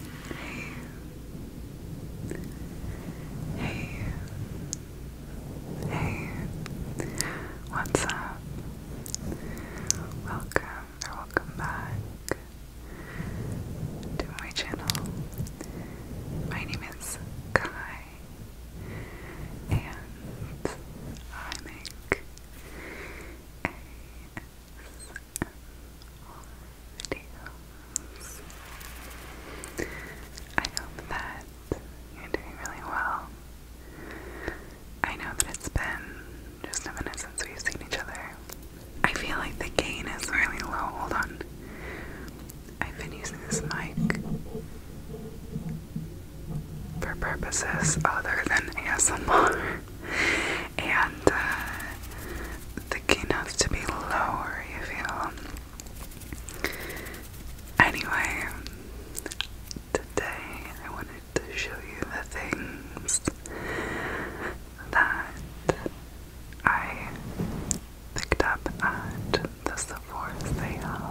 Hey. Hey. Hey. What's up? Welcome or welcome back to my channel. My name is Kai and I make a I hope that you're doing really well. I know that it's been just a minute since we've seen each other. I feel like the gain is really low. Hold on. I've been using this mic for purposes other than ASMR and uh, the key notes to be lower, you feel. Anyway, today I wanted to show you the things that I picked up at the Sephora sale.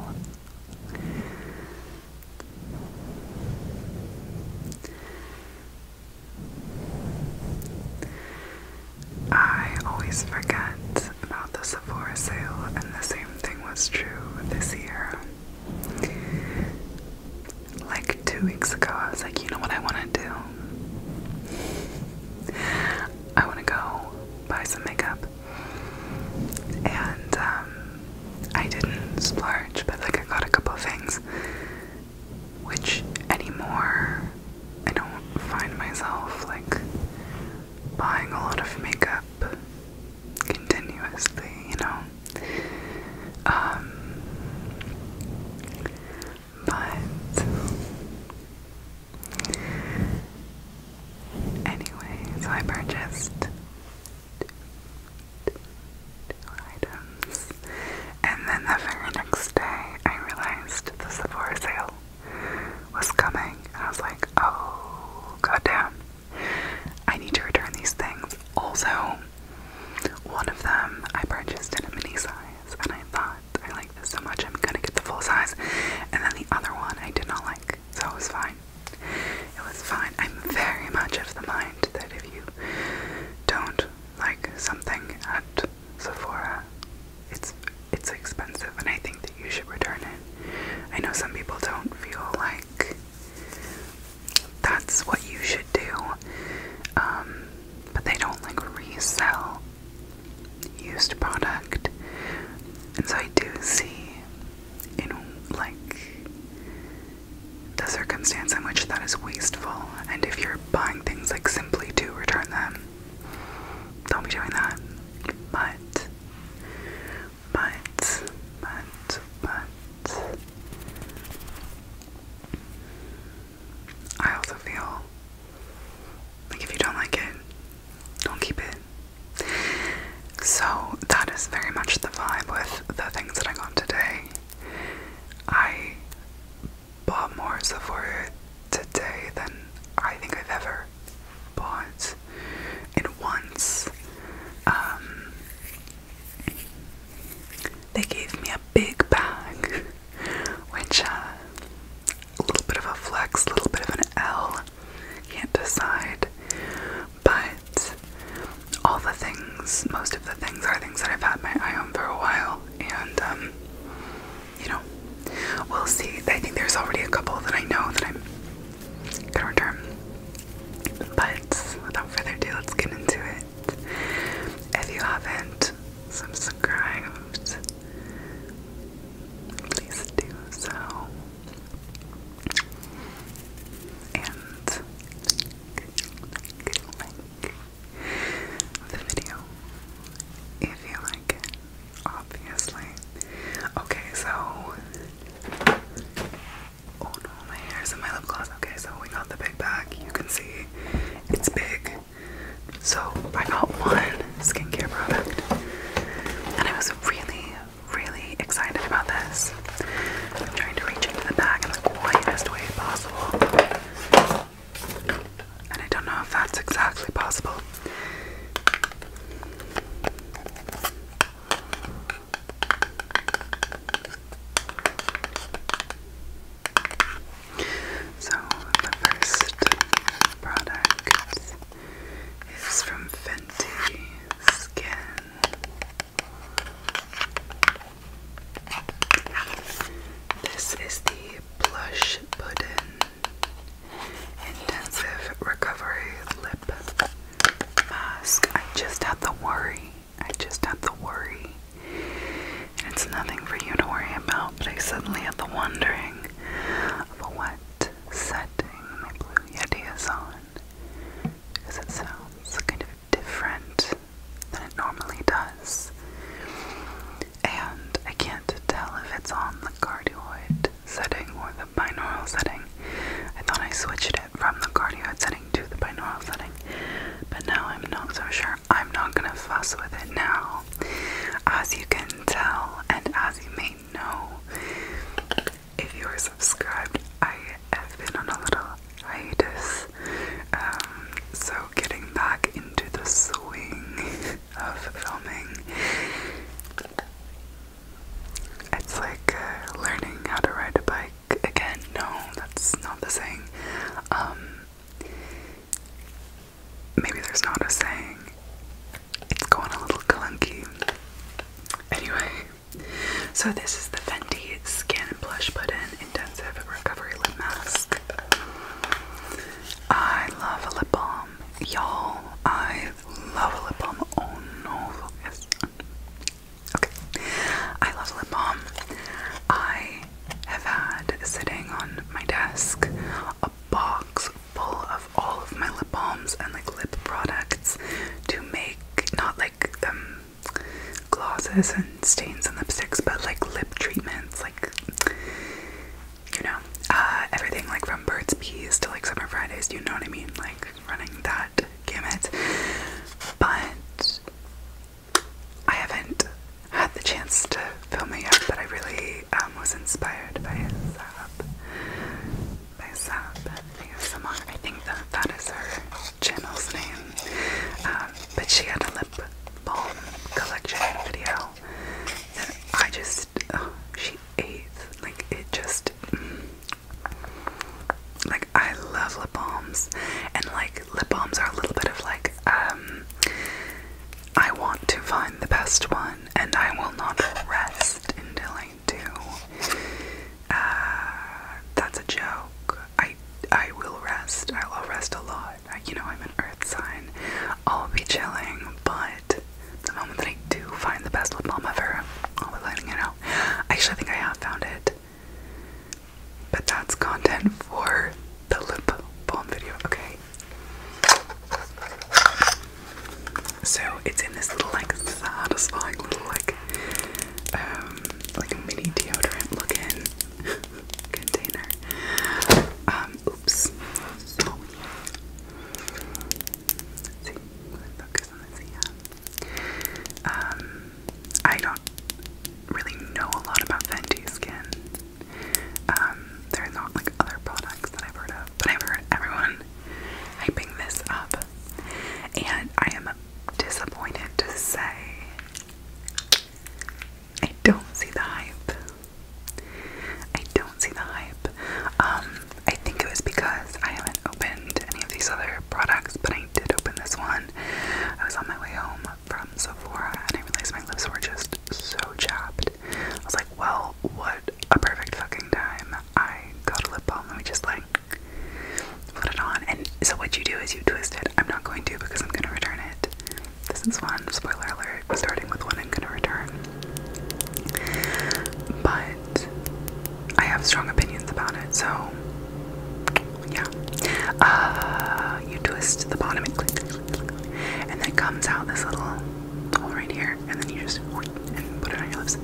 I always forget about the Sephora sale, and the same thing was true this year. Like two weeks ago, I was like, you know what I want to do? I want to go buy some makeup. And um, I didn't splurge, but like I got a couple of things which anymore I don't find myself like buying a lot of makeup continuously, you know. Um, but anyway, so I purchased. And then the very next day, I realized the Sephora sale was coming. And I was like, oh, goddamn. I need to return these things. Also, one of them I purchased in a mini size, and I thought, I like this so much, I'm gonna get the full size. And then the other one I did not like, so it was fine. It was fine. I'm very much of the mind that if you don't like something at Sephora, it's it's expensive, and I think that you should return it. I know some people don't feel like that's what you should do, um, but they don't like resell used product, and so I do see, you know, like the circumstance in which that is wasteful, and if you're buying things like simply to return them, don't be doing that. But, but, but, but, I also feel like if you don't like it, don't keep it. So, that is very much the vibe with the things that I got today. I bought more Sephora today than I think I've ever bought in once. Um, they gave me a big bag, which uh, a little bit of a flex, a little bit of an L. Can't decide, but all the things, most of the things, are things that I've had my eye on for a while and um, you know, we'll see. I think there's already a couple that I know that I'm gonna return. But without further ado, let's get into it. If you haven't subscribed, please do so. And like, the video if you like it, obviously. Okay, so oh no, my hair in my lip gloss. Okay, so we got the big bag. You can see it's big. So I got one skincare product, and I was really, really excited about this. I'm trying to reach into the bag in the quietest way possible. And I don't know if that's exactly possible. So, the first product is from Fenty Skin. This is the Plush Pudding Intensive Recovery Lip Mask. I just had the worry. I just had the worry. it's nothing for you to worry about, but I suddenly had the wondering of what setting my Blue Yeti on. Because it sounds kind of different than it normally does. And I can't tell if it's on the cardioid setting or the binaural setting. I thought I switched it from the cardioid setting to the binaural setting, but now I'm not so sure. I'm not gonna fuss with it now. As you can tell, and as you may know, if you are subscribed, I have been on a little hiatus. Um, so, getting back into the swing of filming, it's like uh, learning how to ride a bike again. No, that's not the saying. Um, maybe there's not a saying. It's going a little clunky. Anyway, so this is the Fenty Skin Blush Put In Intensive Recovery Lip Mask. I love a lip balm, y'all. I love a lip balm. Oh no, Okay, I love a lip balm. I have had sitting on my desk a box full of all of my lip balms and like lip products to make, not like them glosses and stains and lipsticks, but like lip treatments, like you know, uh, everything like from Birds Bees to like Summer Fridays, you know what I mean? Like running that gamut. But I haven't had the chance to film it yet, but I really um, was inspired by it. By Sab, I think I think that that is her channel's name. Um, but she had a lip balm collection video that I just, oh, she ate. Like, it just, mm. like, I love lip balms. And, like, lip balms are a little bit of, like, um, I want to find the best one and I will not rest until I do. Uh, that's a joke. I I will rest. I will rest a lot. You know, I'm an earth sign. I'll be chilling, but the moment that I do find the best lip balm ever, I'll be letting you know. Actually, I think I have found it. But that's content for the lip balm video, okay? So it's in this little like satisfying little like um like mini deodorant looking container. Um, oops. see, focus on this, yeah. Um, I don't really know a lot about Fenty Skin. Um, there are not like other products that I've heard of, but I've heard everyone hyping this up. And I am disappointed to say I don't see the hype. I don't see the hype. Um, I think it was because I haven't opened any of these other products, but I did open this one. I was on my way home from Sephora and I realized my lips were just so chapped. I was like, well, what a perfect fucking time. I got a lip balm. Let me just like put it on. And so what you do is you twist it. I'm not going to because I'm going to return it. This is one spoiler alert. Starting with one, I'm going to return. But I have strong opinions about it. So yeah, uh, you twist the bottom and click, and then comes out this little hole right here, and then you just put it on your lips.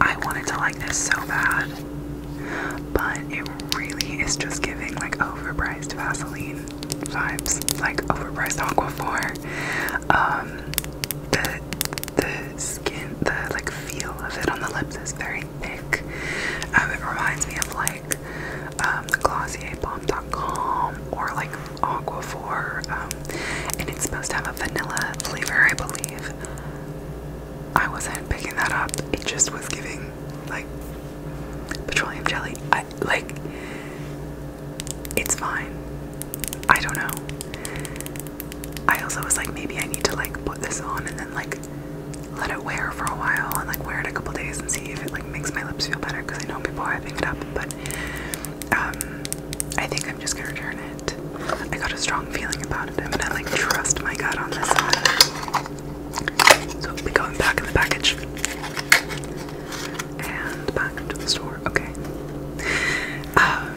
I wanted to like this so bad but it really is just giving like overpriced Vaseline vibes, like overpriced Aquaphor. Um, the the skin, the like feel of it on the lips is very thick. Um, it reminds me of like um, the glossierbalm.com or like Aquaphor, um, and it's supposed to have a vanilla flavor, I believe. I wasn't picking that up. It just was giving like petroleum jelly. I like it's fine. I don't know. I also was like maybe I need to like put this on and then like let it wear for a while and like wear it a couple days and see if it like makes my lips feel better because I know people are hyping it up but um I think I'm just gonna return it. I got a strong feeling about it. I'm gonna like trust my gut on this one. So it'll back in the package. And back into the store. Okay. Um,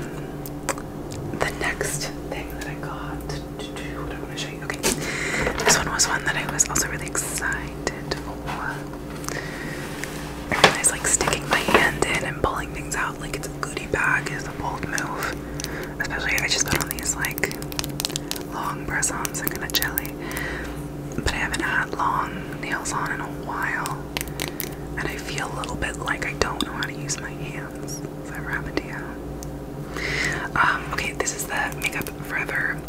the next thing that I got, what I want to show you. Okay. This one was one that I was also really excited for. I like sticking my hand in and pulling things out like it's a goodie bag is a bold move. Especially I just put on these like long press-ons, they're gonna jelly. But I haven't had long nails on in a while. And I feel a little bit like I don't know how to use my hands. Has that ever happened um, okay, this is the Makeup Forever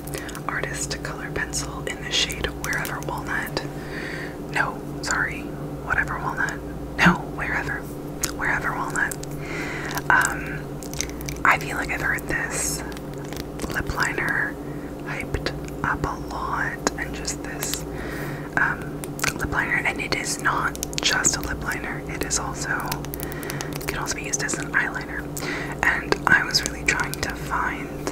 Artist Color Pencil in the shade Wherever Walnut. No, sorry, whatever walnut. No, wherever wherever walnut. Um, I feel like I've heard this lip liner hyped up a lot, and just this um, lip liner, and it is not just a lip liner. It is also can also be used as an eyeliner, and I was really trying to find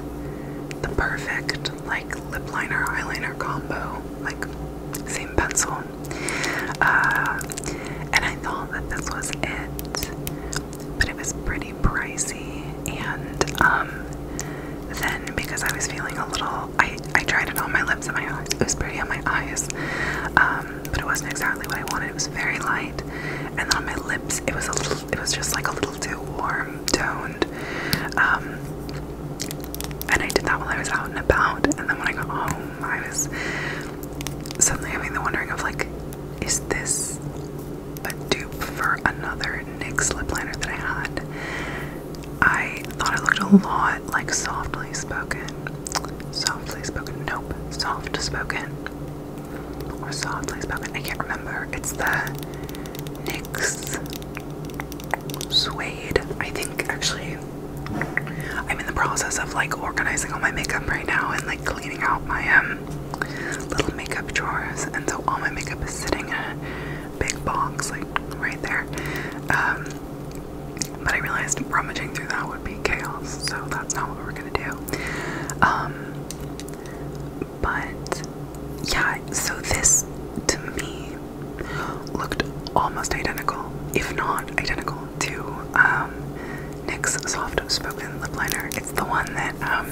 the perfect like lip liner eyeliner combo, like same pencil. Uh, and I thought that this was it, but it was pretty pricey. And um, then because I was feeling a little, I, I tried it on my lips and my eyes. It was pretty on my eyes, um, but it wasn't exactly what I wanted. It was very light, and on my lips, it was a little, it was just like a little too warm toned. Um, and I did that while I was out and about, and then when I got home, I was suddenly having the wondering of like, is this a dupe for another NYX lip liner that I had? I thought it looked a lot like softly spoken. Softly spoken. Nope. Soft spoken. Or softly spoken. I can't remember. It's the NYX Suede. I think actually I'm in the process of like organizing all my makeup right now and like cleaning out my um little makeup drawers, and so all my makeup is sitting in a big box, like right there. Um, but I realized rummaging through that would be chaos, so that's not what we're gonna do. Um, but yeah, so this to me looked almost identical, if not identical, to um, NYX Soft Spoken Lip Liner. It's the one that um,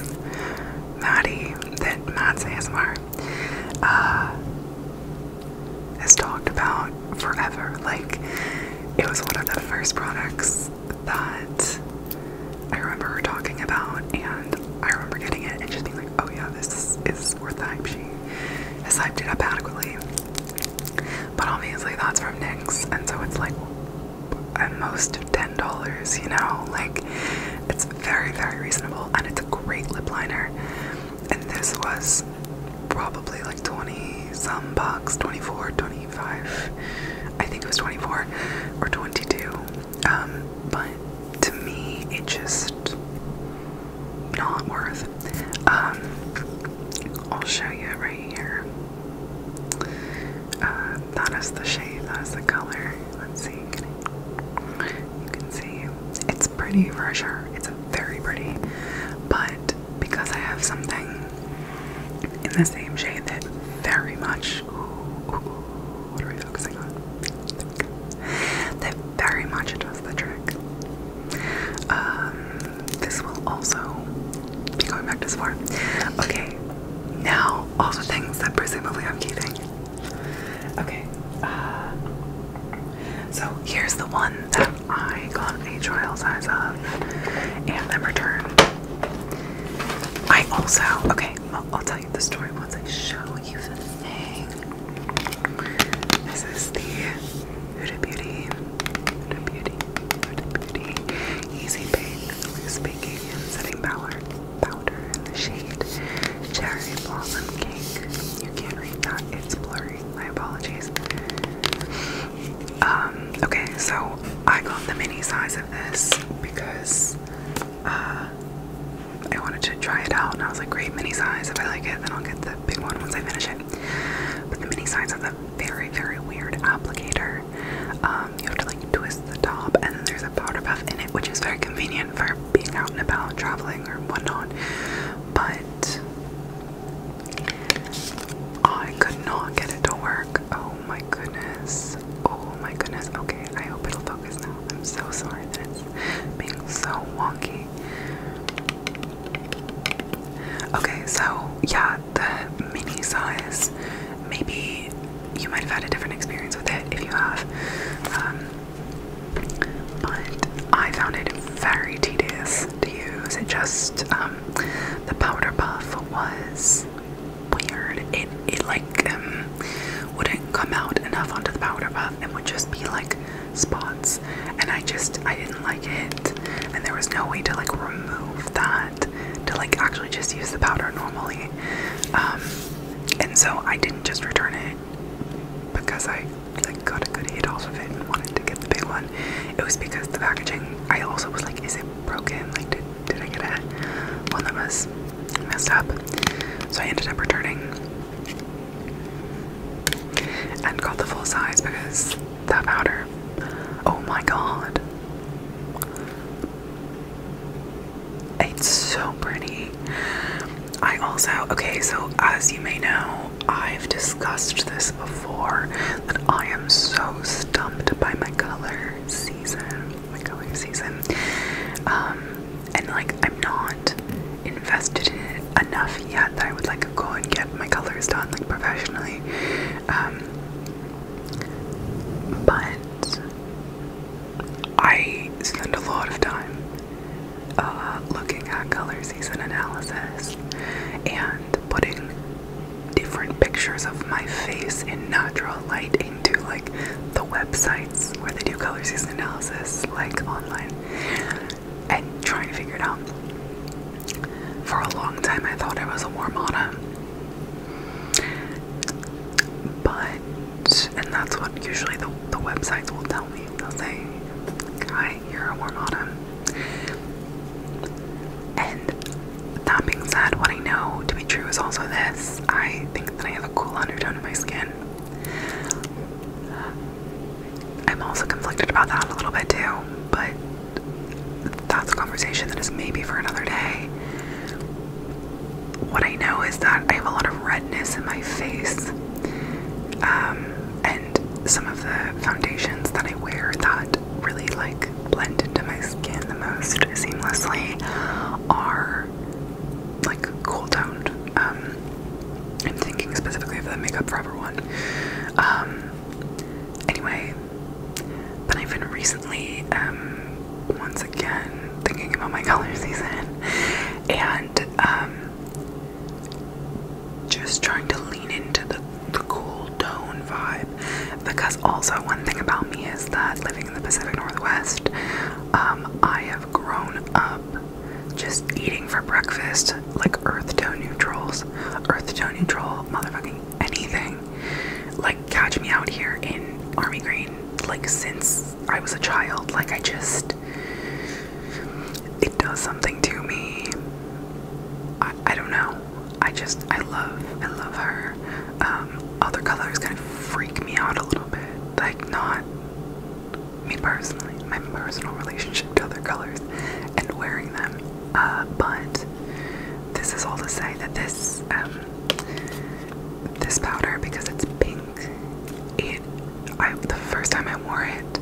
Maddie, that Matt's ASMR, uh, has talked about forever. Like, it was one of the first products that I remember her talking about, and I remember getting it and just being like, oh yeah, this is worth the hype. She has hyped it up adequately. But obviously that's from NYX, and so it's like at most $10, you know? Like, it's very, very reasonable, and it's a great lip liner. And this was probably like 20 some bucks, 24, 25. I think it was 24 or 22. Um, but to me, it just not worth. Um, I'll show you right here. Uh, that is the shade, that is the color. Let's see, you can see it's pretty for sure. It's very pretty, but because I have something in the same shade that very much. what are we focusing on? That very much does the trick. Um, this will also be going back to far. Okay, now all the things that presumably I'm keeping. Okay, uh, so here's the one that I got a trial size of and then returned. I also, okay, I'll, I'll tell you the story once I show you the thing. This is the Huda Beauty beauty. beauty. Easy Bake, speaking, and Setting Powder, powder in the shade Cherry Blossom Cake. You can't read that. It's blurry. My apologies. Um, okay, so I got the mini size of this because uh, I wanted to try it out and I was like, great mini size. If I like it, then I'll get the big one once I finish it. But the mini size has a very, very weird applicator. Um, you have to like twist the top, and there's a powder puff in it, which is very convenient for being out and about, traveling, or whatnot. But I could not get it to work. Oh my goodness. Oh my goodness. Okay, I hope it'll focus now. I'm so sorry that it's being so wonky. Okay, so yeah, the mini size. Maybe you might have had a different experience with it if you have. Um, but I found it very tedious to use. It just um, the powder puff was weird. It it like um, wouldn't come out enough onto the powder puff and would just be like spots and I just I didn't like it and there was no way to like remove that to like actually just use the powder normally um, and so I didn't just return it because I like got a good hit off of it and wanted to get the big one it was because the packaging I also was like is it broken like did, did I get a one that was messed up so I ended up returning and got the full size because that powder. Oh my god. It's so pretty. I also, okay, so as you may know, I've discussed this before that I am so stumped by my color season. My color season. Um, and like, I'm not invested in it enough yet that I would like to go and get my colors done like professionally. Um, but I spend a lot of time uh, looking at color season analysis and putting different pictures of my face in natural light into like the websites where they do color season analysis, like online and trying to figure it out. For a long time, I thought it was a warm autumn, But, and that's what usually the, the websites will tell me. They'll say, Hi, you're a warm autumn." And that being said, what I know to be true is also this. I think that I have a cool undertone in my skin. I'm also conflicted about that a little bit too, but that's a conversation that is maybe for another day. What I know is that I have a lot of redness in my face, um, and some of the foundations that I wear that really like blend into my skin the most seamlessly are like cool toned. Um, I'm thinking specifically of the Makeup Forever one. Um, Anyway, but I've been recently, um, once again, thinking about my color season and um, just trying to lean into the, the cool tone vibe. Because also, one thing about me is that living in the Pacific Northwest, um, I have grown up just eating for breakfast, like earth tone neutrals, earth tone neutral, motherfucking anything. Like, catch me out here in Army Green, like, since I was a child. Like, I just. It does something to me. I, don't know. I just. I love. I love her. Um, other colors kind of freak me out a little bit. Like, not me personally, my personal relationship to other colors and wearing them. Uh, but this is all to say that this um, this powder, because it's pink, it I the first time I wore it,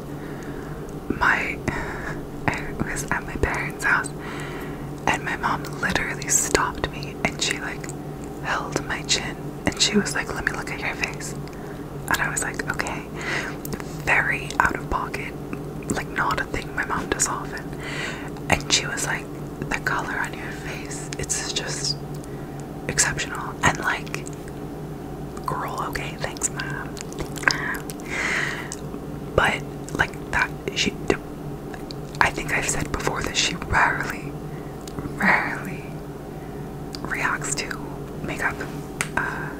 my I was at my parents' house, and my mom literally stopped me, and she like held my chin, and she was like, "Let me look at your face." And I was like, okay, very out of pocket, like not a thing my mom does often. And she was like, the color on your face, it's just exceptional. And like, girl, okay, thanks, mom. But like that, she, I think I've said before that she rarely, rarely reacts to makeup. Uh,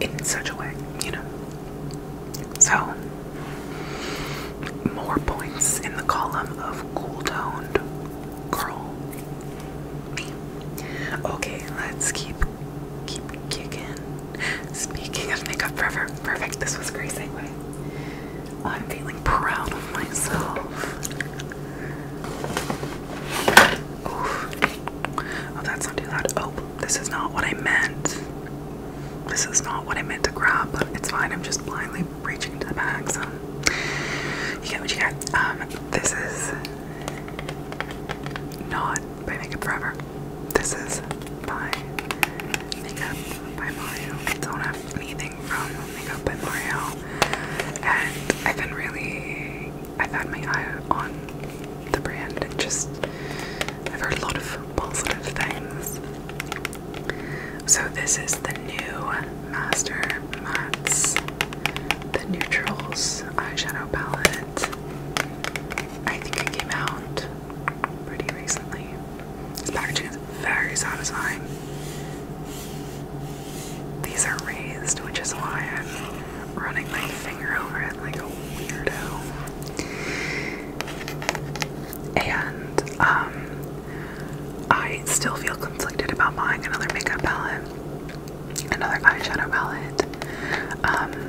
in such a way, you know. So, more points in the column of cool toned girl. Okay, let's keep keep kicking. Speaking of makeup forever, perfect. This was crazy. I'm feeling proud of myself. Oh, that's not too loud. Oh, this is not what I meant. This is not what I meant to grab, but it's fine. I'm just blindly reaching into the bag, so you get what you get. Um, this is not by Makeup Forever. This is by Makeup by Mario. Don't have anything from Makeup by Mario, and I've been really I've had my eye on the brand and just I've heard a lot of positive things. So this is the new Master Mattes, the Neutrals eyeshadow palette. I think it came out pretty recently. This packaging is very satisfying. These are raised, which is why I'm running my finger over it like a weirdo. And um, I still feel conflicted about buying another makeup palette, another eyeshadow palette. Um,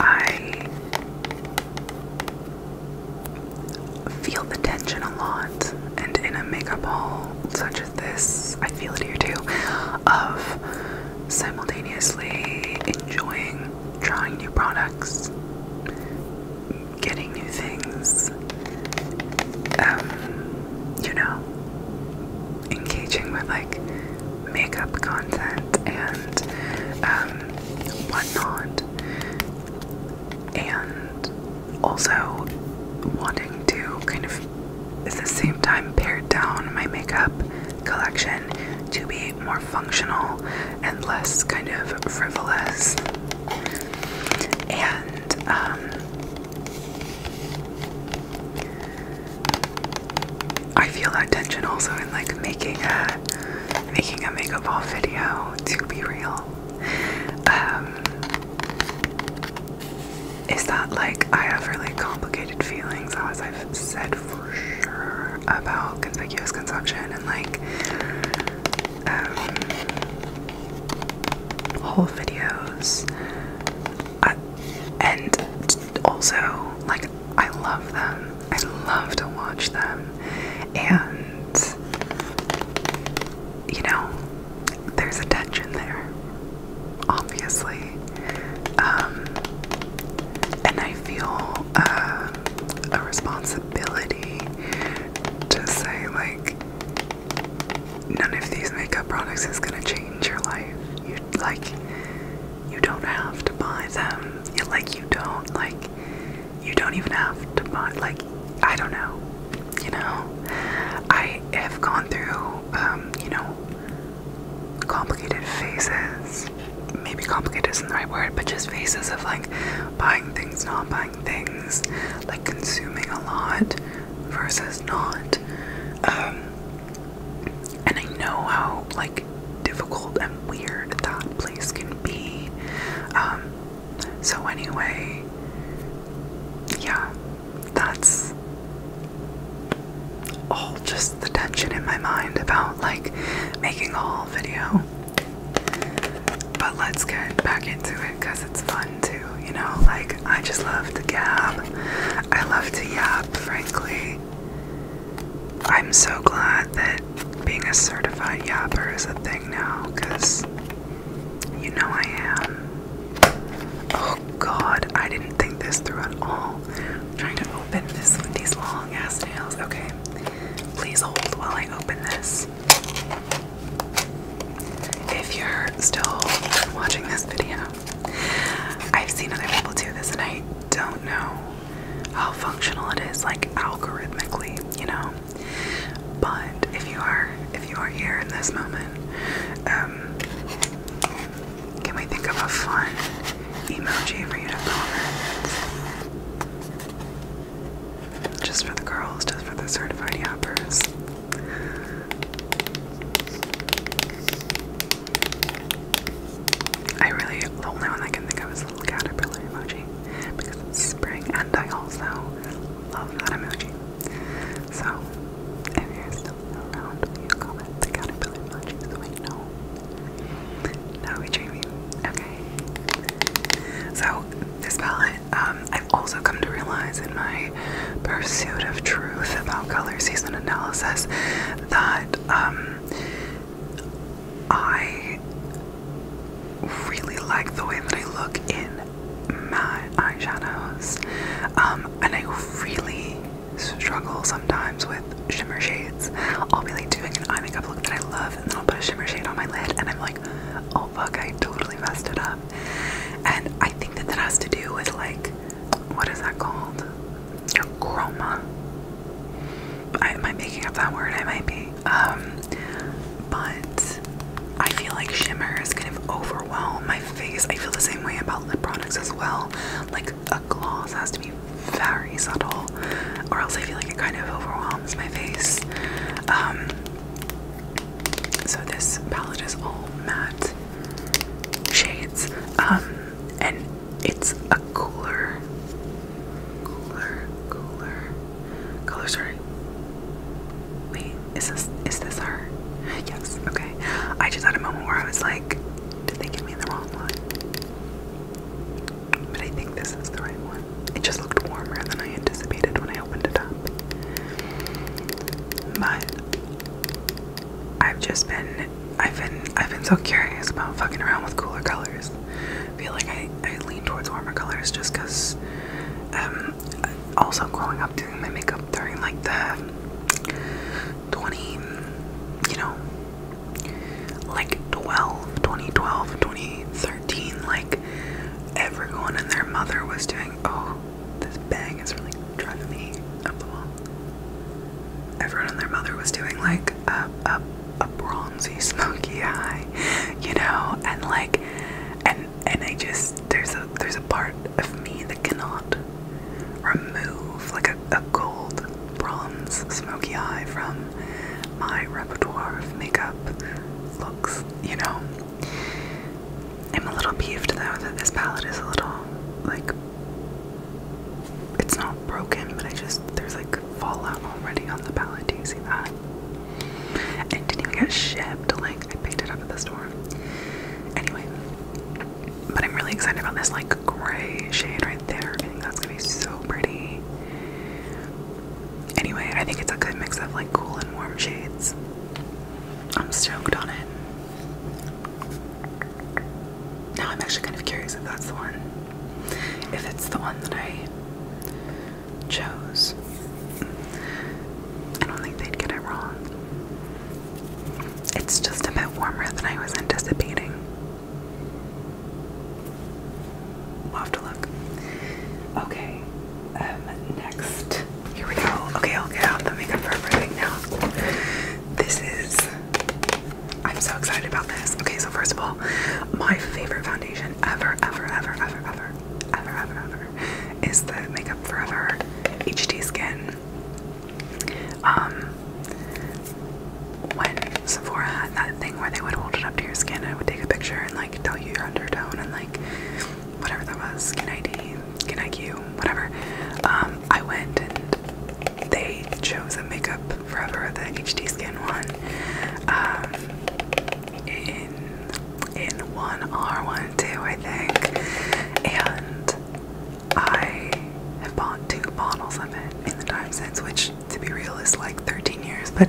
I feel the tension a lot, and in a makeup haul such this, I feel it here too, of simultaneously enjoying trying new products, getting new things, um, you know, engaging with like makeup content and um, whatnot, and also wanting to kind of at the same time, pared down my makeup collection to be more functional and less kind of frivolous. And um, I feel that tension also in like making a making a makeup haul video. To be real. Um, is that like I have really complicated feelings, as I've said for sure, about conspicuous consumption and like um, whole videos. Uh, and also, like, I love them. I love to watch them. And, you know, there's a tension there, obviously. Um, and I feel uh, a responsibility to say, like, none of these makeup products is gonna change your life. You like, you don't have to buy them. like, you don't like, you don't even have to buy. Like, I don't know you know i have gone through um, you know complicated phases maybe complicated isn't the right word but just phases of like buying things not buying things like consuming a lot versus not um, and i know how like difficult and weird that place can be um, so anyway yeah that's all just the tension in my mind about like making a haul video. But let's get back into it because it's fun too, you know? Like, I just love to gab, I love to yap, frankly. I'm so glad that being a certified yapper is a thing now because you know I am. Oh god, I didn't think this through at all. I'm trying to open this with these long ass nails. Okay. Please hold while I open this. If you're still watching this video, I've seen other people do this and I don't know how functional it is, like algorithmically, you know. But if you are if you are here in this moment, um, can we think of a fun emoji for you to comment? Just for the girls, just for the certified yappers. I really, the only one I can think of is the little caterpillar emoji because it's spring, and I also love that emoji. So, if you're still around, will comment the caterpillar munchies? Wait, no. No, we dream you. Okay. So, this palette, um, I've also come to realize in my pursuit of truth about color season analysis that um, I really like the way that I look in matte eyeshadows. Um, and I really struggle sometimes with shimmer shades. I'll be like doing an eye makeup look that I love, and then I'll put a shimmer shade on my lid, and I'm like, oh fuck, I totally messed it up. And I think that that has to do with like, what is that called? chroma. am I making up that word? I might be. Um, but I feel like shimmer is kind of overwhelm my face. I feel the same way about lip products as well. Like a gloss has to be very subtle, or else I feel like it kind of overwhelms my face. Um, so this palette is all matte shades, um, and it's a cooler, cooler, cooler color. Sorry, wait, is this is this her? Yes. Okay. I just had a moment where I was like, did they give me the wrong one? But I think this is the right one. It just looked warmer than I anticipated when I opened it up. But I've just been I've been I've been so curious about fucking around with cooler colors. I feel like I, I lean towards warmer colors just because um, also growing up doing my makeup during like the 20 you know like 12 2012 2013 like everyone and their mother was doing oh this bang is really driving me up the wall everyone and their mother was doing like a, a, a bronzy smoky eye you know and like and and I just there's a there's a part of me that cannot remove like a, a gold bronze smoky eye from my repertoire of makeup looks, you know. I'm a little peeved though that this palette is a little like it's not broken, but I just there's like fallout already on the palette. Do you see that? And didn't even get shipped. Like I picked it up at the store. Anyway, but I'm really excited about this like gray shade right there. think that's gonna be so pretty. Anyway, I think it's a good mix of like cool and warm shades. I'm stoked on it. Now I'm actually kind of curious if that's the one. If it's the one that I chose. I don't think they'd get it wrong. It's just a bit warmer than I was anticipating. We'll have to look. Okay, um, next. Here we go. Okay, I'll get out the makeup for everything now. This is. I'm so excited about this. Okay, so first of all, my favorite foundation ever, ever, ever, ever, ever, ever, ever, is the Makeup Forever HD Skin. Um, when Sephora had that thing where they would hold it up to your skin and would take a picture and like tell you your undertone and like whatever that was, skin ID, skin IQ, whatever. Um, I went and they chose a Makeup Forever, the HD Skin one, um, in 1R12, one, I think. And I have bought two bottles of it in the time since, which, to be real, is like 13 years. But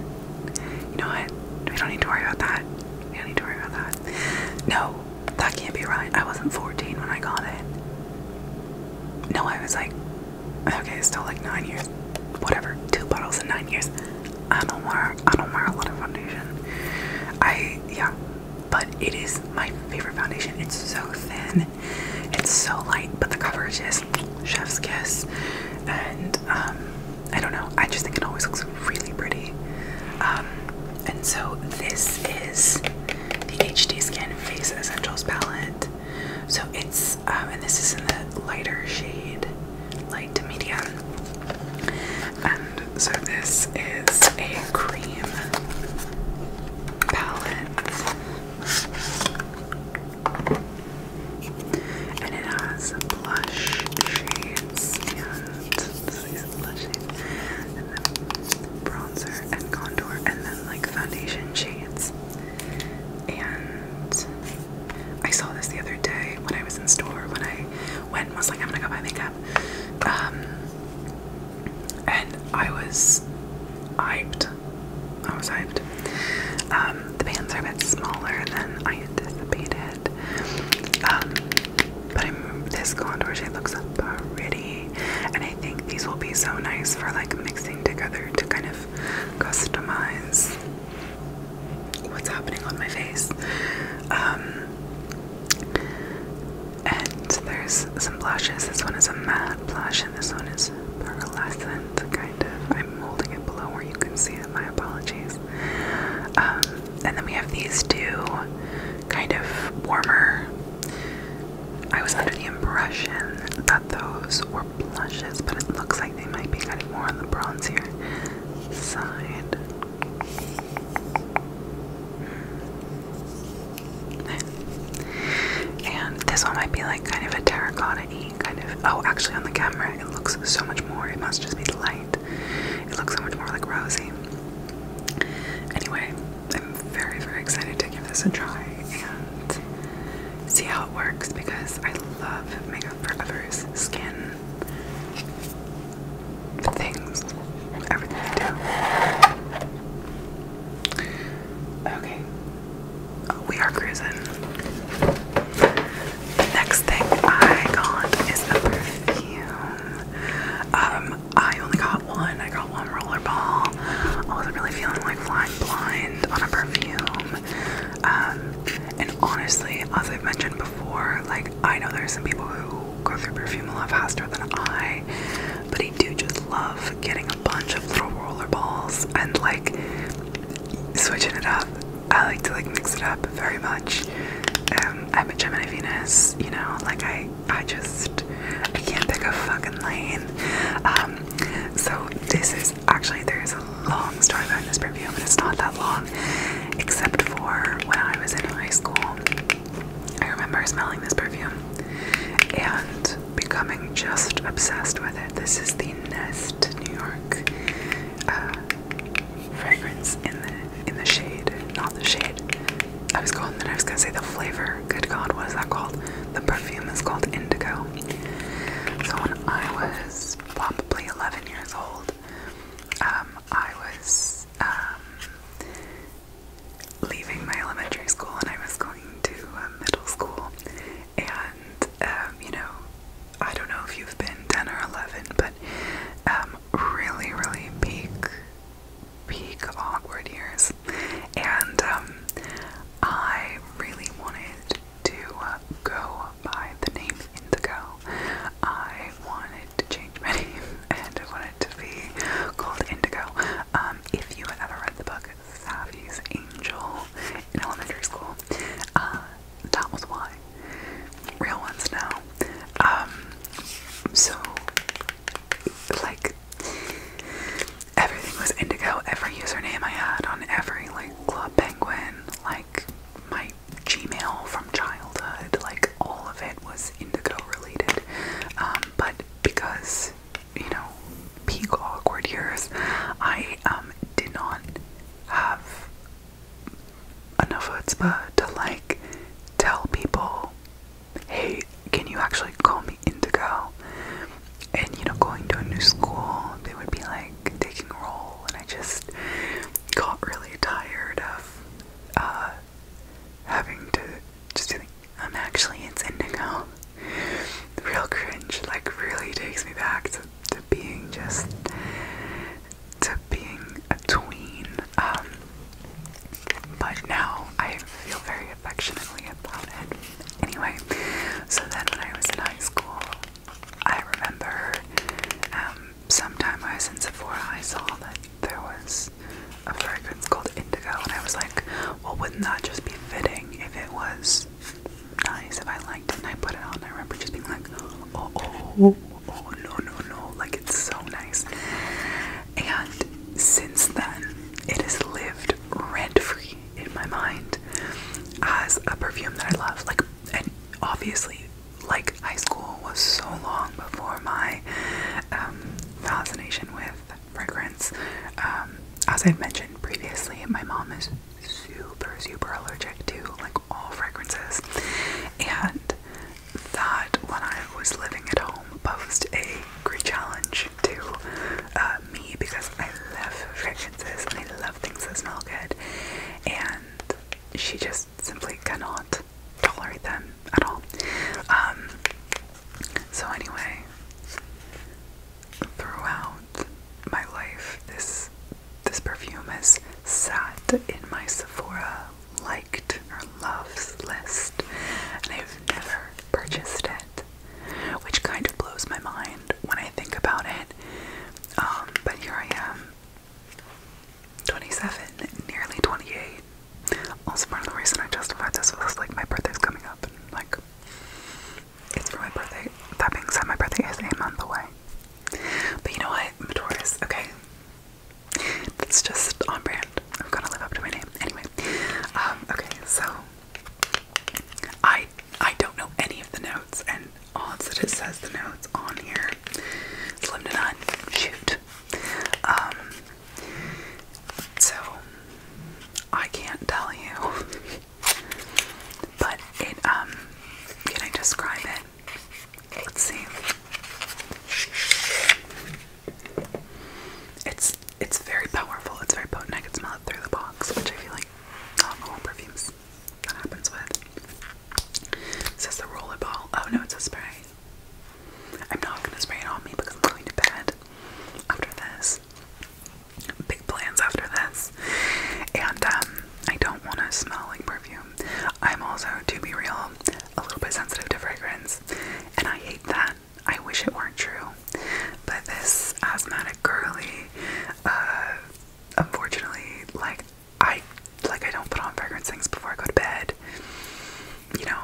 you know what? We don't need to worry about that. We don't need to worry about that. No, that can't be right. I wasn't 14 when I got it. No, I was like, okay, still like nine years. Whatever, two bottles in nine years. I don't wear, I don't wear a lot of foundation. I, yeah, but it is my favorite foundation. It's so thin, it's so light, but the coverage is chef's kiss. And um, I don't know, I just think it always looks really pretty. Um, and so this is the HD Skin Face Essentials palette. So it's, um, and this is in the lighter shade, light to medium. Uh, so this is a cream palette. And it has blush shades and these blush shades and then bronzer and contour and then like foundation shades. And I saw this the other day when I was in store when I went and was like I'm gonna go buy makeup lab. Um, and I was hyped. I was hyped. Um, the pants are a bit smaller than I anticipated. Um, but I'm, this contour shade looks pretty. And I think these will be so nice for like mixing together to kind of customize what's happening on my face. Um, and there's some blushes. This one is a matte blush, and this one is pearlescent, kind of. I'm holding it below where you can see it. My apologies. Um, and then we have these two kind of warmer. I was under the impression that those were blushes, but it looks like they might be more on the bronzier side. And this one might be like kind of a terracotta y kind of. Oh, actually, on the camera, it looks so much more. It must just be the light. It looks so much more like rosy. Anyway, I'm very, very excited to give this a try and see how it works because I love makeup for others' skin things, everything Okay, oh, we are cruising. The next thing I got is the perfume. Um, I only got one. I got one rollerball. I wasn't really feeling like flying blind on a perfume. Um, and honestly, as I've mentioned before, like I know there's some people who go through perfume a lot faster than I, but I do just love getting a bunch of little roller balls and like switching it up. I like to like mix it up very much. Um, I'm a Gemini Venus, you know, like I, I just, I can't pick a fucking lane. Um, so this is actually, there's a long story behind this perfume, but it's not that long except for when I was in high school. I remember smelling this perfume and becoming just obsessed with it. This is the Nest New York uh, fragrance in the in the shade, not the shade. I was going, then I was gonna say the flavor. Good God, what is that called? The perfume is called Indigo. So when I was probably 11 years old, um, I was was um, leaving my elementary school and I was going to um, middle school. And, um, you know, I don't know if you've been 10 or 11, but um, really, really peak, peak awkward years. And um, I really wanted to uh, go by the name Indigo. I wanted wanted to change my name and I wanted to be called Indigo. Um, if you have ever read the book Savvy's Angel in elementary school, uh, that was why. Real ones now. Um, so, like, everything was Indigo. Every username I had on every, like, Club Penguin, like, my Gmail from childhood, like all of it was indigo related. Um, but because, you know, peak awkward years, I um, did not have enough chutzpah to like tell people, hey, can you actually call me indigo? And you know, going to a new school, they would be like taking a roll, and I just got really tired of uh, having to just think I'm actually it's indigo. The real cringe like really takes me back to, to being just to being a tween. Um but now I feel very affectionately about it. Anyway, so then when I was in high school I remember um sometime I was in Sephora, I saw that there was a fragrance called Indigo, and I was like, well, wouldn't that just be fitting if it was nice, if I liked it, and I put it on? And I remember just being like, oh, oh, oh, no, no, no, like it's so nice. And since then, it has lived rent free in my mind as a perfume that I love. Like, and obviously, like high school was so long before my um, fascination with fragrances. Um, as I've mentioned previously, my mom is super, super allergic to like all fragrances, and that when I was living at home posed a great challenge to uh, me because I love fragrances and I love things that smell good, and she just simply cannot tolerate them at all. Um, so, anyway, throughout my life, this this perfume has sat in my Sephora liked or loves list, and I've never purchased it, which kind of blows my mind when I think about it. Um, but here I am 27, nearly 28. Also, part of the reason I justified this was like my birthday's coming up, and like it's for my birthday. That being said, my birthday is a month away. But you know what? I'm a Taurus, okay? That's just on brand. I'm gonna live up to my name. Anyway, um, okay, so I I don't know any of the notes, and odds that it says the notes on here. Slim to none. Shoot. Um, so I can't tell you, but it um, can I describe it? Let's see. It's it's very powerful. It's very potent. I can smell it through the box, which I feel like alcohol perfumes that happens with. It says the rollerball. Oh no, it's a spray. I'm not gonna spray it on me because I'm going to bed after this. Big plans after this. And um, I don't wanna smell like perfume. I'm also, to be real, a little bit sensitive to fragrance. And I hate that. I wish it weren't true. But this asthmatic girly, uh, unfortunately, like I like I don't put on fragrance things before I go to bed. You know,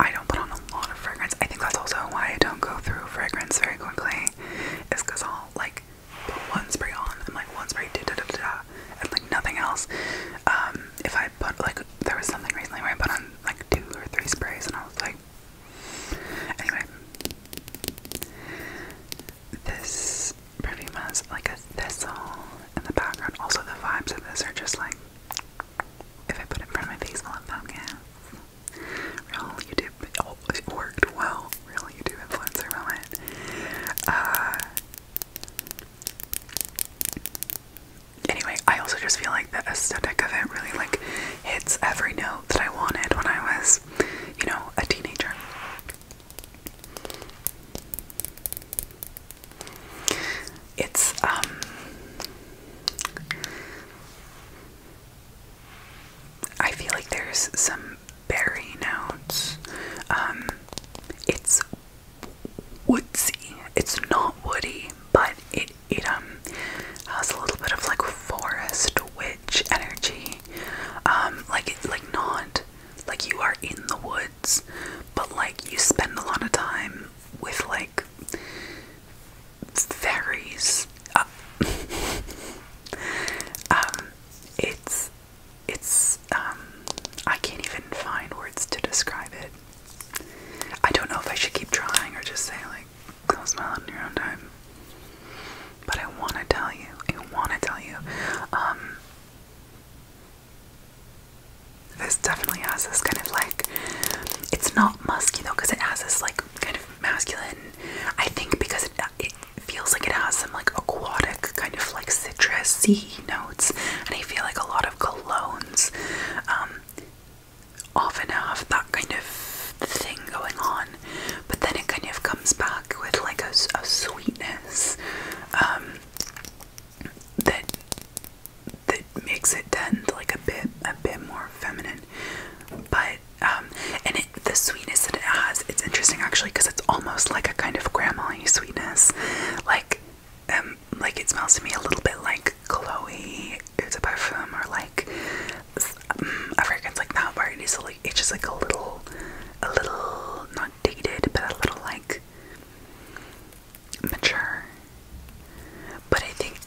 I don't put on a lot of fragrance. I think that's also why I don't go through fragrance very quickly. Is because I'll like put one spray on and like one spray da da da da and like nothing else. Um, if I put like there was something recently where I put on like two or three sprays and I was like anyway. This Bravima's like a thistle in the background. Also, the vibes of this are just like if I put it in front of my face, I'll have thumbnails. Real YouTube, oh, it worked well. Real YouTube influencer moment. Uh, anyway, I also just feel like the aesthetic of it really like hits every note that I wanted when I was, you know, a teenager. It's um I feel like there's some berry notes. Um it's woodsy. It's not woody, but it it um has a little bit of like forest witch energy. Um like it like not like you are in the woods but like you spend a lot of time with like fairies. Uh, um, it's it's um, I can't even find words to describe it. I don't know if I should keep trying or just say like close my mouth on your own time. But I wanna tell you, I wanna tell you, um, this definitely has this kind of like, it's not musky though, because it has this like kind of masculine. I think because it, feels like it has some like aquatic kind of like citrusy notes, and I feel like a lot of colognes um, often have that kind of thing going on, but then it kind of comes back with like a, sweetness. Um, that that makes it tend like a bit a bit more feminine. But um, and the sweetness that it has, it's interesting actually because it's almost like a kind of grandma sweetness. Like um, like it smells to me a little bit like Chloe, it's a perfume, or like um, mm, a fragrance like not very it is it's just like a little, a little not dated, but a little like mature. But I think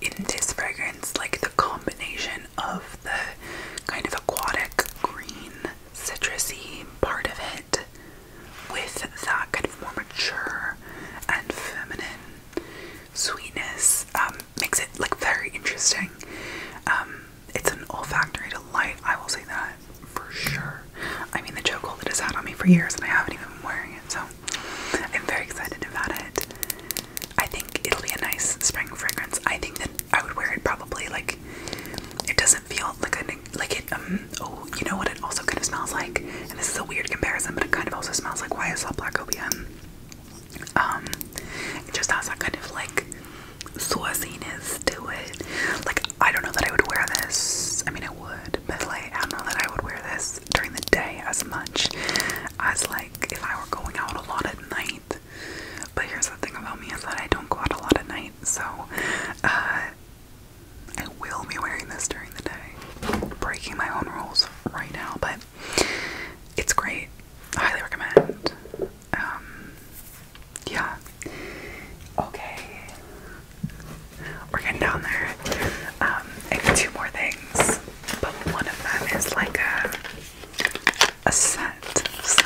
in this fragrance, like the combination of the kind of aquatic green citrusy part of it with that kind of more mature and feminine sweetness um, makes it like very interesting. Um, it's an olfactory delight, I will say that for sure. I mean, the chokehold has had on me for years, and I haven't even been wearing it, so I'm very excited about it. I think it'll be a nice spring fragrance. I think that I would wear it probably like it doesn't feel like a like it. Um, oh, you know what? It also kind of smells like, and this is a weird comparison, but it kind of also smells like YSL Black Opium. Um, it just has that kind of like sauciness to it. Like, I don't know that I would wear this. I mean, it would, but like, I don't know that I would wear this during the day as much as like if I were going out a lot at night. But here's the thing about me is that I don't go out a lot at night, so uh, I will be wearing this during the day. Breaking my own rules right now, but it's great. I highly recommend. Um, yeah. Okay. We're getting down there. Um, I have two more things, but one of them is like a a scent, so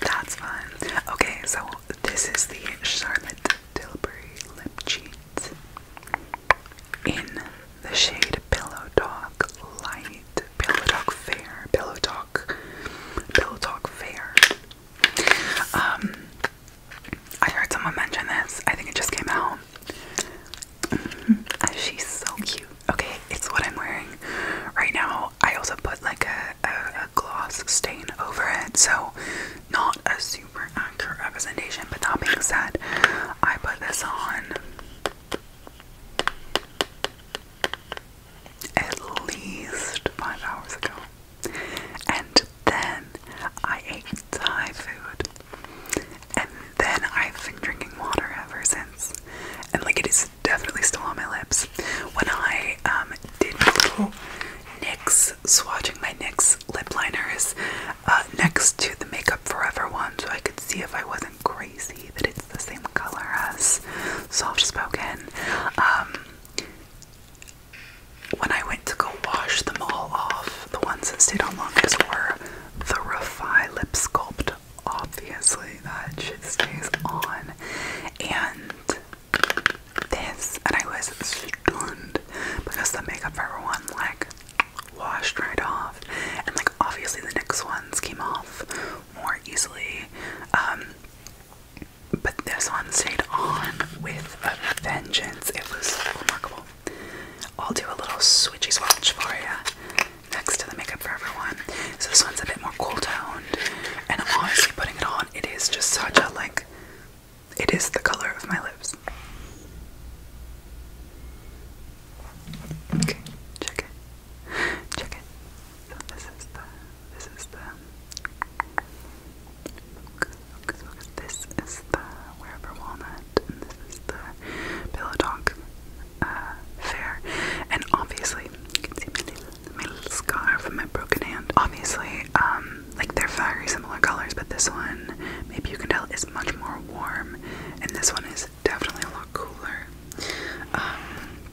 that's fun. Okay, so this is the Charlotte Tilbury lip cheat in the shade Pillow Talk Light, Pillow Talk Fair, Pillow Talk, Pillow Talk Fair. Um, I heard someone mention this. I think it just came out. Mm-hmm. Uh, she's so cute. Okay, it's what I'm wearing right now. I also put like a, a, a gloss stain over it, so not a super accurate representation. But that being said, I put this on at least five hours ago. And then I ate Thai food. And then I've been drinking water ever since. And like it is definitely still on my lips. When I um, did my little NYX, swatching my NYX lip liners uh, next to the Makeup Forever one so I could see if I wasn't crazy that it's the same color as Soft Spoken. Um, when I went to go wash them all off, the ones that stayed on longest were the Refi Lip Sculpt. Obviously, that shit stays on. And this, and I was stunned because the makeup for everyone, like, washed right off. And, like, obviously, the next ones came off more easily. Um, but this one stayed on with a vengeance. It was remarkable. I'll do a little switchy swatch for you next to the Makeup Forever one. So this one's a bit more cool toned, and honestly, putting it on, it is just such a like. It is the color of my lips. Okay, check it, check it. So this is the this is the This is the wherever walnut, and this is the pillow talk uh, fair. And obviously, you can see my little, my little scar from my broken hand. Obviously, um, like they're very similar colors, but this one, maybe you can tell, is much more warm, and this one is definitely a lot cooler. Um,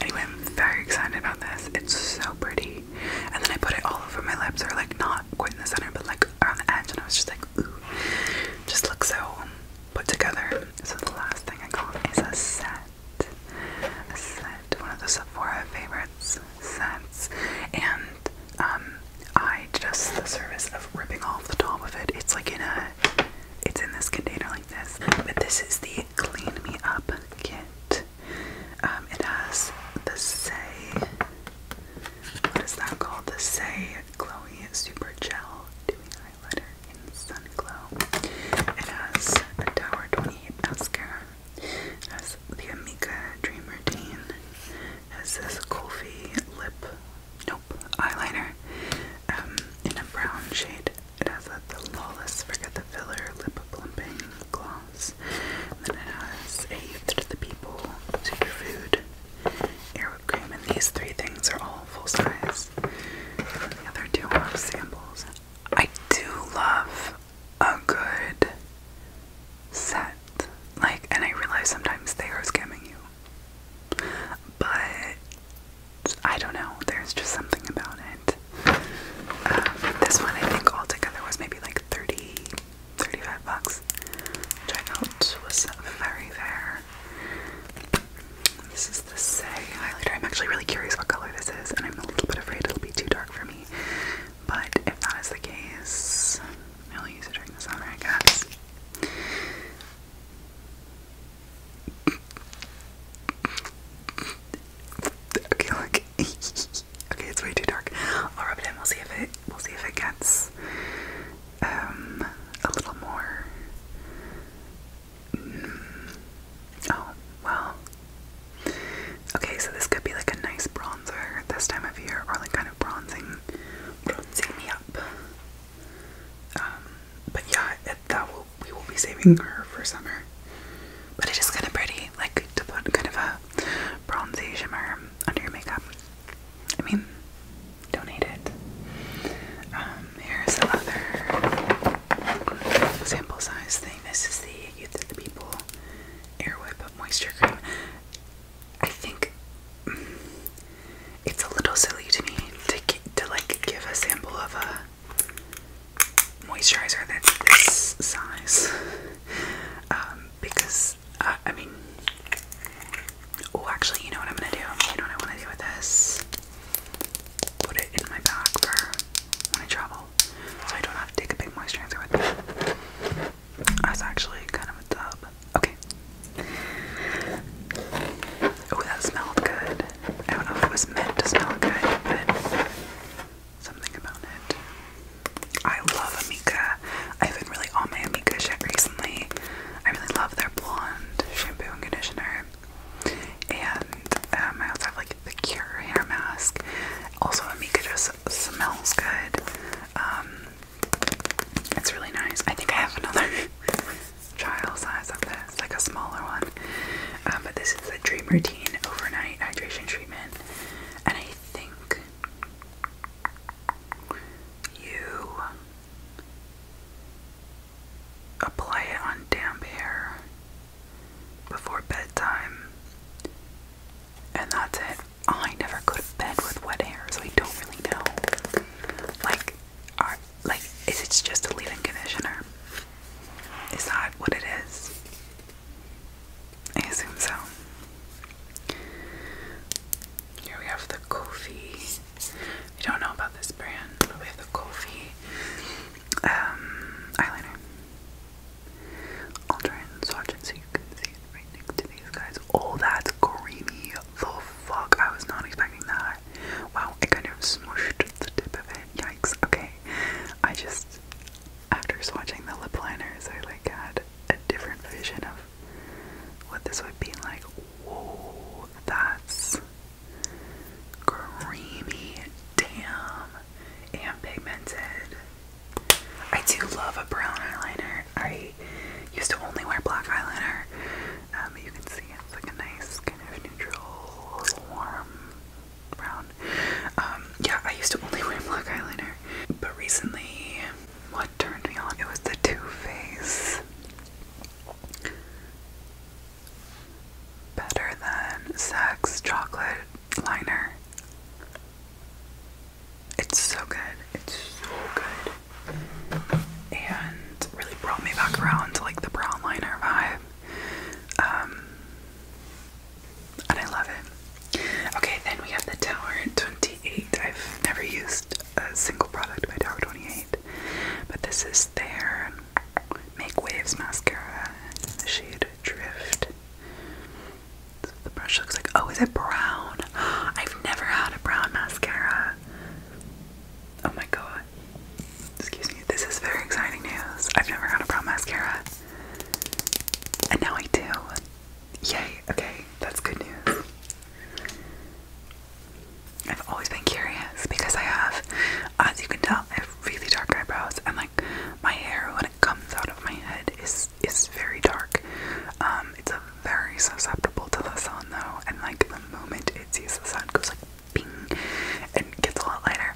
Anyway, I'm very excited about this. It's so pretty. And then I put it all over my lips, or like not quite in the center, but like around the edge, and I was just like, ooh. Just looks so put together. So the last thing I got is a set. A set, one of the Sephora favorites sets. And um, I just the service of ripping off the top of it. It's like in a it's in this container but this is the Clean Me Up kit. Um, it has the Say, what is that called? The Say Chloe Super Gel Dewy Highlighter in Sun Glow. It has a Tower 28 mascara. It has the Amika Dream Routine. It has this Kofi lip, nope, eyeliner um, in a brown shade. It has the Lawless Forget the Filler Lip Plumping Gloss. And then it has a the People Superfood Airwhip Cream. And these three things are all full size. the other two are samples. I do love a good set. Like, and I realize sometimes they are scamming you. But I don't know. There's just something about it. Um, this one, I think altogether was maybe like 30, 35 bucks, which was very fair. This is the Say highlighter. I'm actually really curious what color this is, and I'm a little bit afraid it'll be too dark for me. But if that is the case, I'll use it during the summer, I guess. Okay, look. okay, it's way too dark. I'll rub it in. We'll see if it. We'll see if it gets um a little more. Mm. Oh well. Okay, so this could be like a nice bronzer this time of year, or like kind of bronzing, bronzing me up. Um, but yeah, that will we will be saving her for summer. But it is kind of pretty, like to put kind of a bronzy shimmer under your makeup. I mean, don't hate it. Um, here's the sample size thing. This is the Youth of the People Air Whip Moisture Cream. I think it's a little silly to me to to like give a sample of a moisturizer that's this size um, because uh, I mean oh actually you know what I'm gonna do you know what I want to do with this put it in my bag for when I travel so I don't have to take a big moisturizer with me that's actually kind of a dub okay oh that smelled good I don't know if it was meant to smell good, but something about it. I love Amika. I've been really on my Amika shit recently. I really love their blonde shampoo and conditioner. And um, I also have like the Cure hair mask. Also, Amika just smells good. Um, it's really nice. I think I have another trial size of this, like a smaller one. Um, but this is the Dream Routine Overnight Hydration Treatment, and I think you apply it on damp hair before bedtime, and that's it. Oh, I never go to bed with wet hair, so I don't really know. Like, our, like is it just a leave-in conditioner? Is that what it is? I assume so. Here we have the Kofi. We don't know about this brand, but we have the Kofi um, eyeliner. I'll try and swatch it so you can see it right next to these guys. Oh, that's creamy. The fuck! I was not expecting that. Wow, I kind of smushed the tip of it. Yikes. Okay. I just after swatching the lip liners I like had a different vision of what this would be like. Whoa, that's creamy. Damn. And pigmented. I do love a brown eyeliner. I used to only wear black eyeliner um, you can see it's like a nice kind of neutral, warm brown. Um, yeah, I used to only wear black eyeliner, but recently, what turned me on? It was the Too Faced Better Than Sex Chocolate Liner. It's so good. It's so good. And really brought me back around to like the brown liner vibe. Um, and I love it. Okay, then we have the Tower 28. I've never used a single product by Tower 28, but this is their Make Waves mascara in the shade Drift. the brush looks like. Oh, is it brown? I've never had a brown mascara. Oh my god. Excuse me, this is very exciting news. I've never had a brow mascara. And now I do. Yay, okay, that's good news. I've always been curious because I have, as you can tell, I have really dark eyebrows and like my hair when it comes out of my head is is very dark. Um, it's very susceptible to the sun though, and like the moment it sees the sun, goes like ping, and gets a lot lighter.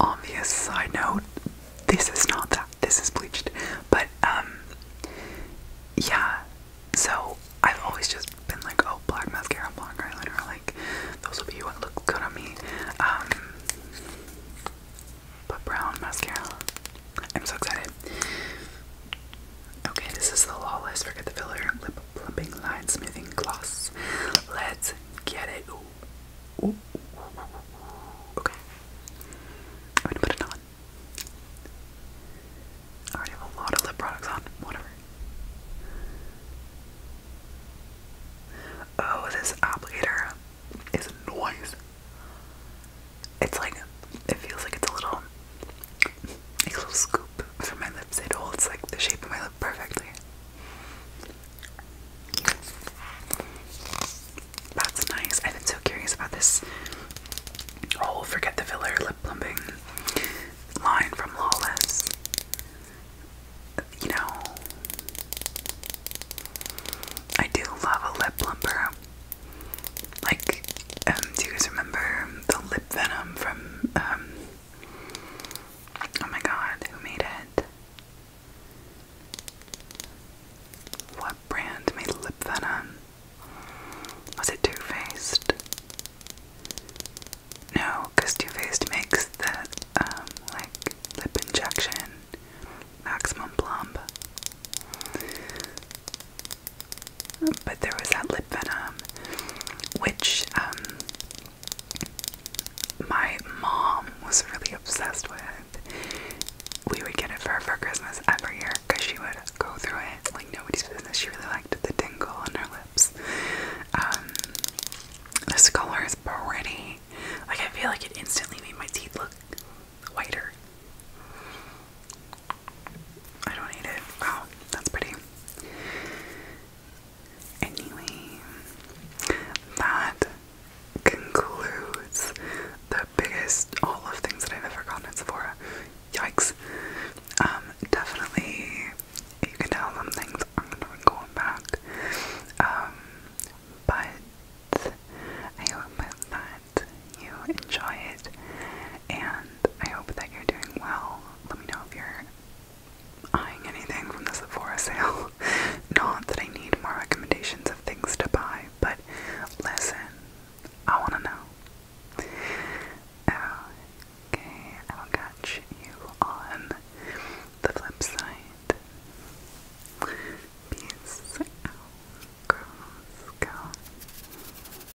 Obvious side note, this is not that, this is bleached, but um, yeah, so I've always just been like, oh, black mascara, black eyeliner, like, those will be what look good on me, um, but brown mascara, I'm so excited. Okay, this is the Lawless. Forget the filler. Lip plumping, line smoothing gloss. Let's get it. Ooh. Ooh. Okay. I'm gonna put it on. I already have a lot of lip products on. Whatever. Oh, this applicator is noise. It's like, it feels like it's a little like a little scoop for my lips. It holds like the shape of my lip perfectly. That's nice. I've been so curious about this oh, forget the filler lip plumping line from Lawless. You know, I do love a lip plumper like, um, do you guys remember the lip venom from, um, oh my god, who made it? What brand made lip venom? Was it Too Faced? No, because Too Faced makes the, um, like, lip injection maximum plump. Um, but there was that lip venom, which um, my mom was really obsessed with. We would get it for her for Christmas every year because she would go through it like nobody's business. She really liked the tingle on her lips. Um, this color is pretty. Like I feel like it instantly made my teeth look whiter. I don't need it. Wow, that's pretty. Anyway, that concludes the biggest all of things that I've ever gotten at Sephora. Yikes. Um, definitely you can tell some things aren't going back. Um, but I hope that you enjoy it and I hope that you're doing well. Let me know if you're eyeing anything from the Sephora sale. Not that I need more recommendations of things to buy, but listen, I want to know. Okay, I will catch you on the flip side. Peace out, girls.